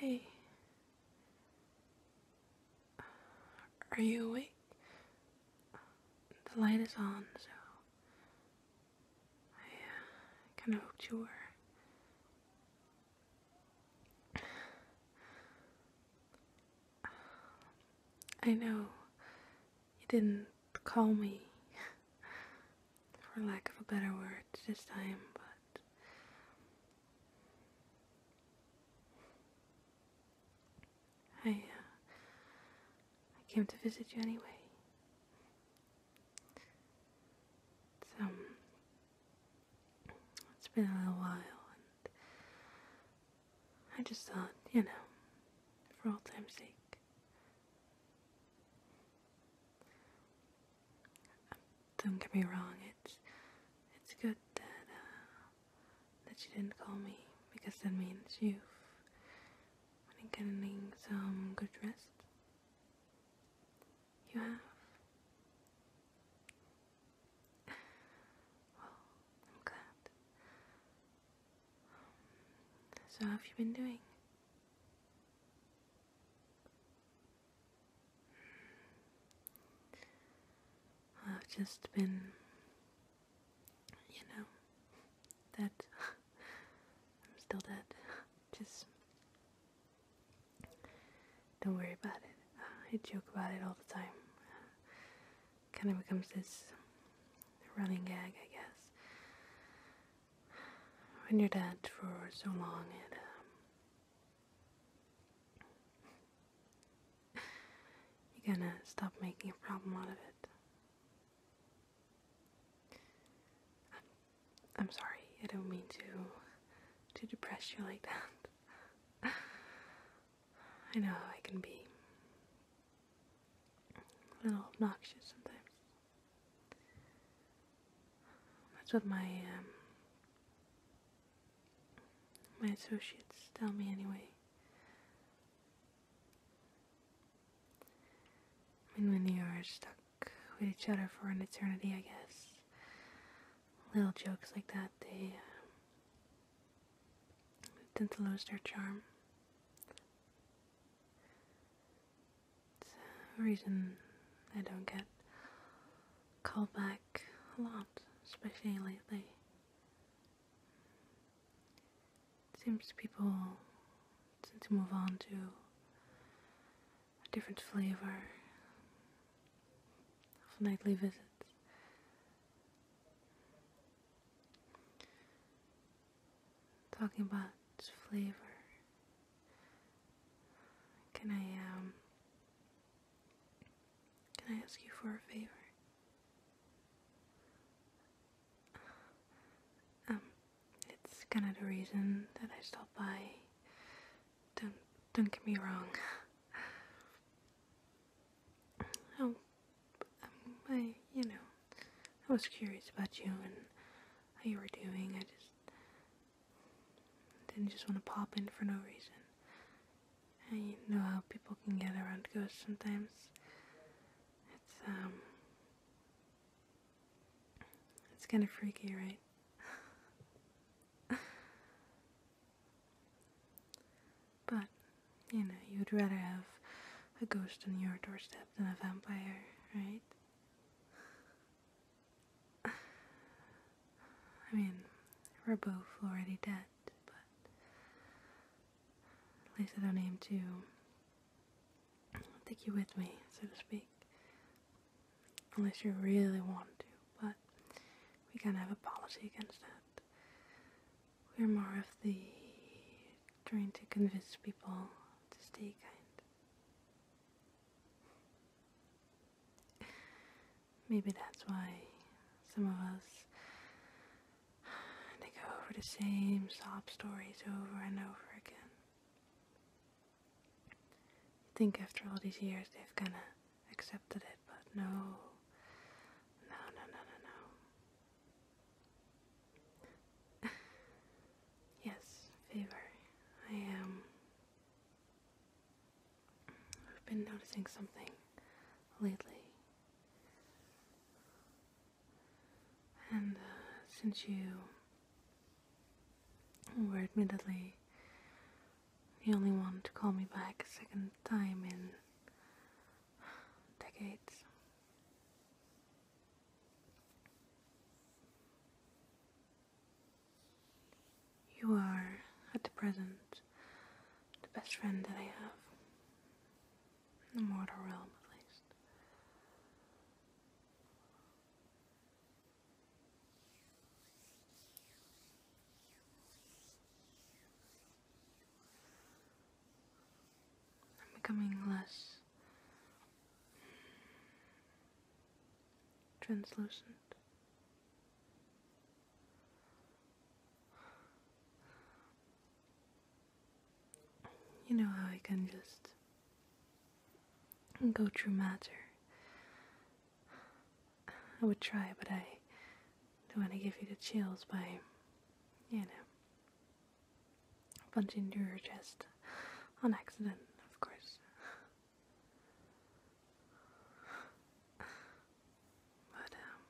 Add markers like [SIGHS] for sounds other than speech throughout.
Hey, are you awake? The light is on, so I uh, kind of hoped you were. [SIGHS] I know you didn't call me, for lack of a better word, this time, but I, uh, I came to visit you anyway. It's, um, it's been a little while, and I just thought, you know, for all time's sake. Don't get me wrong, it's it's good that uh, that you didn't call me because that means you've been getting some good rest. You have? Well, I'm glad. so, how have you been doing? Hmm. I've just been, you know, dead. [LAUGHS] I'm still dead. Just don't worry about it. I joke about it all the time. kind of becomes this running gag, I guess. When you're dead for so long, it um, [LAUGHS] you're gonna stop making a problem out of it. I'm sorry, I don't mean to to depress you like that. [LAUGHS] I know I can be a little obnoxious sometimes. That's what my um, my associates tell me anyway. I mean, when you are stuck with each other for an eternity, I guess. Little jokes like that, they uh, tend to lose their charm. It's uh, a reason I don't get called back a lot, especially lately. It seems people tend to move on to a different flavor of nightly visits. Talking about flavor, can I um, can I ask you for a favor? Um, it's kind of the reason that I stopped by. Don't don't get me wrong. oh, [LAUGHS] I you know, I was curious about you and how you were doing. I just didn't just want to pop in for no reason. I know how people can get around ghosts sometimes. It's um it's kind of freaky, right? [LAUGHS] but, you know, you'd rather have a ghost on your doorstep than a vampire, right? [LAUGHS] I mean, we're both already dead, but at least I don't aim to take you with me, so to speak. Unless you really want to, but we kind of have a policy against that. We're more of the trying to convince people to stay kind. Maybe that's why some of us they go over the same sob stories over and over again. I think after all these years they've kind of accepted it, but no. No, no, no, no, no. [LAUGHS] yes, fever. I am. Um, I've been noticing something lately. And uh, since you were admittedly the only one to call me back a second time in decades. You are, at the present, the best friend that I have. In the mortal realm, at least. I'm becoming less translucent. You know how I can just go through matter. I would try, but I don't want to give you the chills by, you know, punching through your chest on accident, of course. [SIGHS] But, um,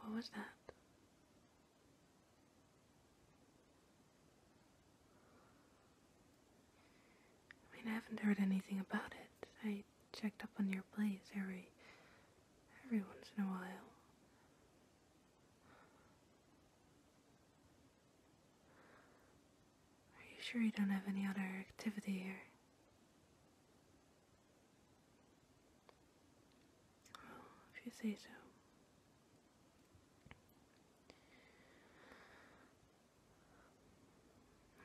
what was that? I mean, I haven't heard anything about it. I checked up on your place every every once in a while. Are you sure you don't have any other activity here? if you say so.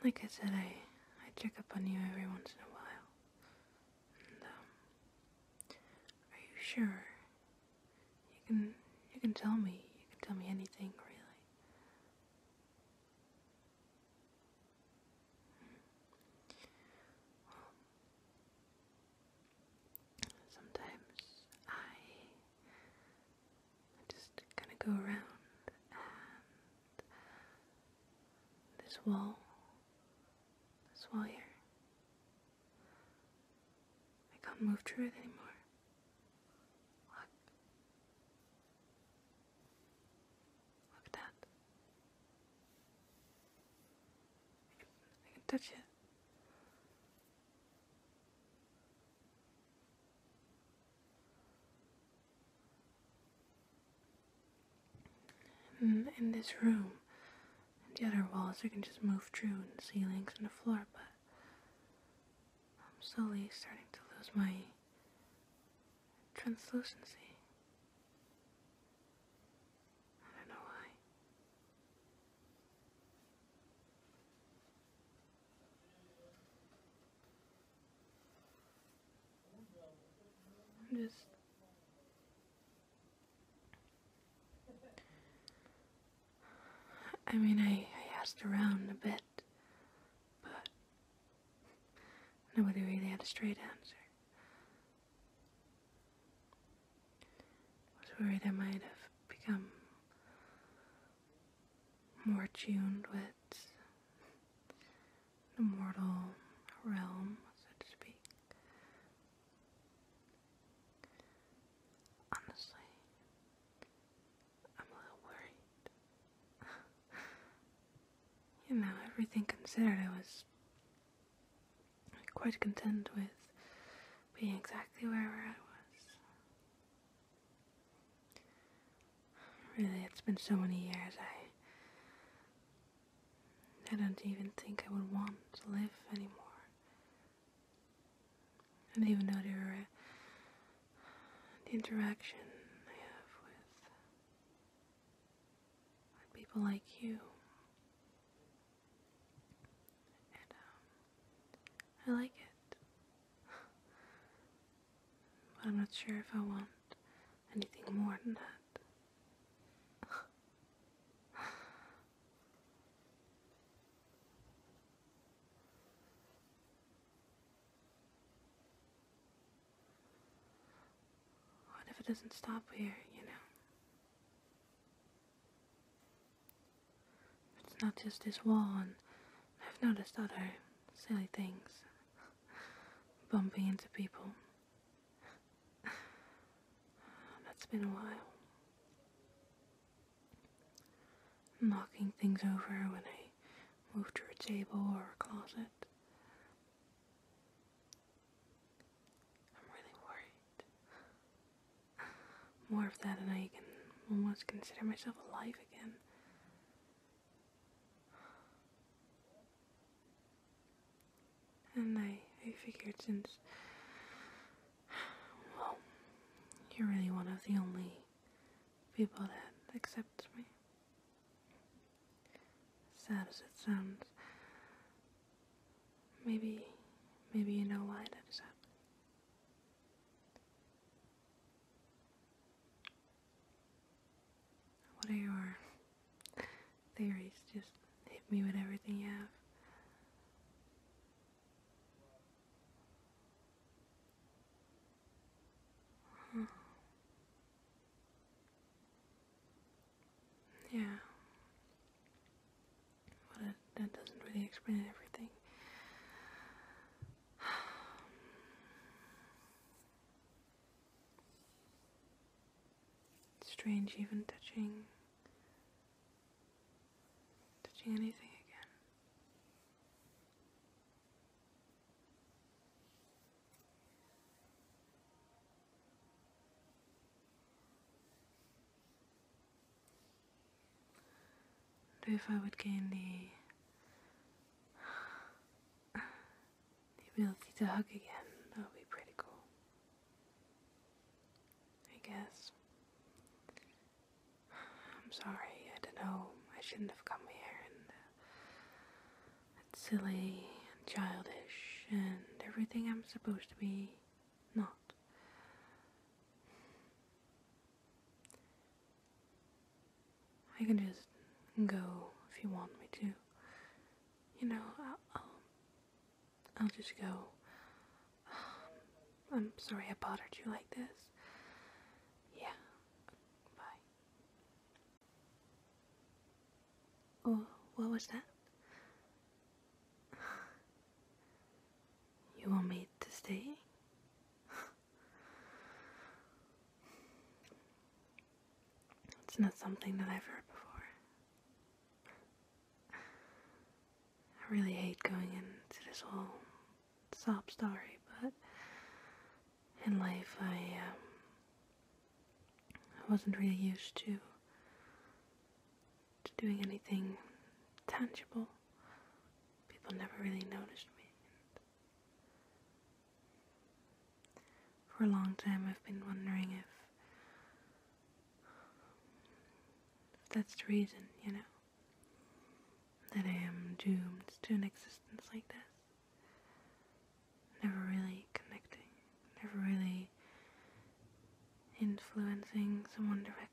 Like I said, I, I check up on you every once in a while. And, um, are you sure? You can, you can tell me. You can tell me anything, really sometimes I, just kind of go around and this wall, this wall here, I can't move through it anymore. Look at that. I can touch it. Hmm, in, this room, the other walls, I can just move through and the ceilings and the floor, but I'm slowly starting to lose my translucency. I don't know why. I'm just I mean I, I asked around a bit but nobody really had a straight answer. I was worried I might have become more tuned with the mortal realm, so to speak. Honestly, I'm a little worried. [LAUGHS] you know, everything considered, I was quite content with being exactly where I was. Really, it's been so many years, I... I don't even think I would want to live anymore. I didn't even know they were the interaction I have with people like you. Um, I like it. [LAUGHS] but I'm not sure if I want anything more than that. [LAUGHS] What if it doesn't stop here, you know? It's not just this wall, and I've noticed other silly things. Bumping into people. [SIGHS] That's been a while knocking things over when I move to a table or a closet. I'm really worried. More of that and I can almost consider myself alive again. And I, I figured since well, you're really one of the only people that accepts me. Sad as it sounds, maybe, maybe you know why that is What are your theories? Just hit me with everything you have. Hmm. Yeah. Well, that doesn't really explain everything. [SIGHS] Strange, even touching touching anything again. if I would gain the ability to hug again, that would be pretty cool. I guess. I'm sorry, I don't know, I shouldn't have come here, and uh, it's silly and childish and everything I'm supposed to be not. I can just go if you want me to. You know, I'll just go, um, I'm sorry I bothered you like this. Yeah, bye. Oh, what was that? You want me to stay? it's not something that I've heard before. I really hate going into this whole sob story, but in life I, um, wasn't really used to doing anything tangible. People never really noticed me. for a long time, I've been wondering if that's the reason, you know, that I am doomed to an existence like this. Never really connecting, never really influencing someone directly.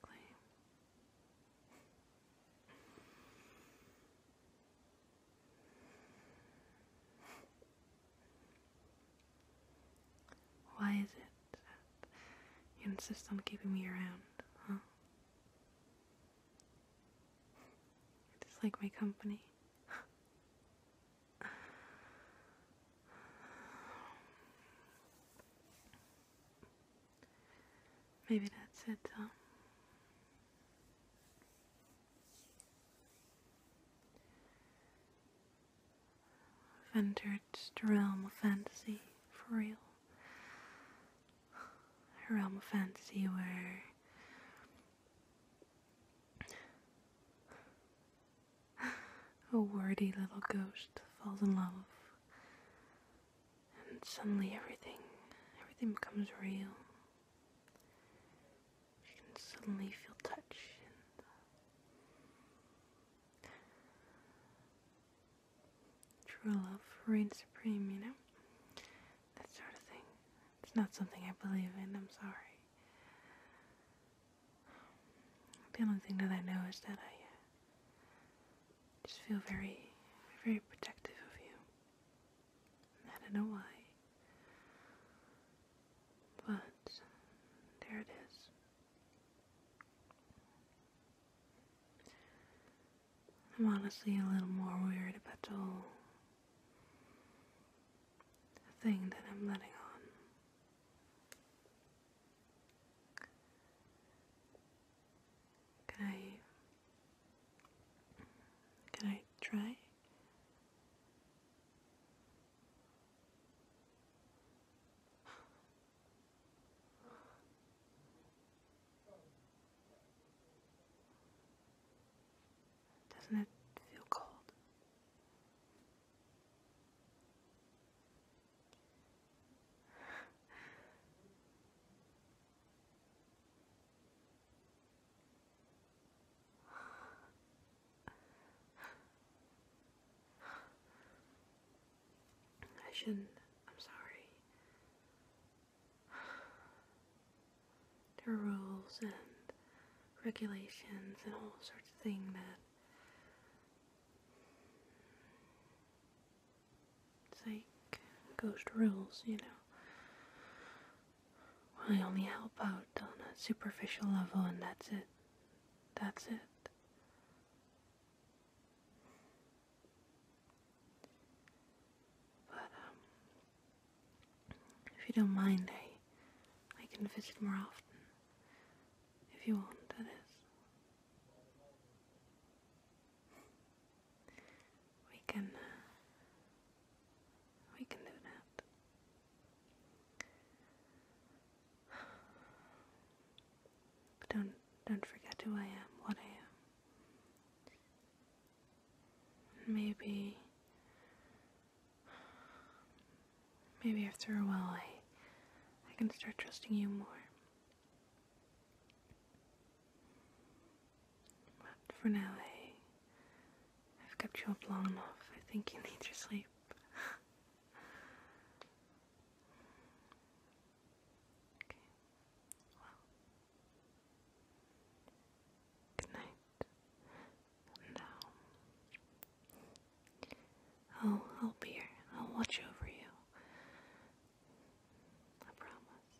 Why is it you insist on keeping me around, huh? Just like my company. Maybe that's it, I've entered the realm of fantasy, for real. A realm of fantasy where a wordy little ghost falls in love and suddenly everything everything becomes real I can suddenly feel touch and uh, true love reign supreme, you know? That sort of thing. It's not something I believe in, I'm sorry. The only thing that I know is that I uh, just feel very, very protective of you. I don't know why. But there it is. I'm honestly a little more worried about the whole thing that I'm letting on. Can I can I try? Doesn't it feel cold? [SIGHS] I shouldn't. I'm sorry. [SIGHS] There are rules and regulations and all sorts of things that. It's like ghost rules, you know. I only help out on a superficial level, and that's it. That's it. But, um, if you don't mind, I, I can visit more often. If you want, that is. We can uh, we can do that. Don't don't forget who I am, what I am. Maybe maybe after a while I I can start trusting you more. But for now, I, have kept you up long enough. I think you need your sleep. okay. Well. Good night. Now. I'll, I'll be here. I'll watch over you. I promise.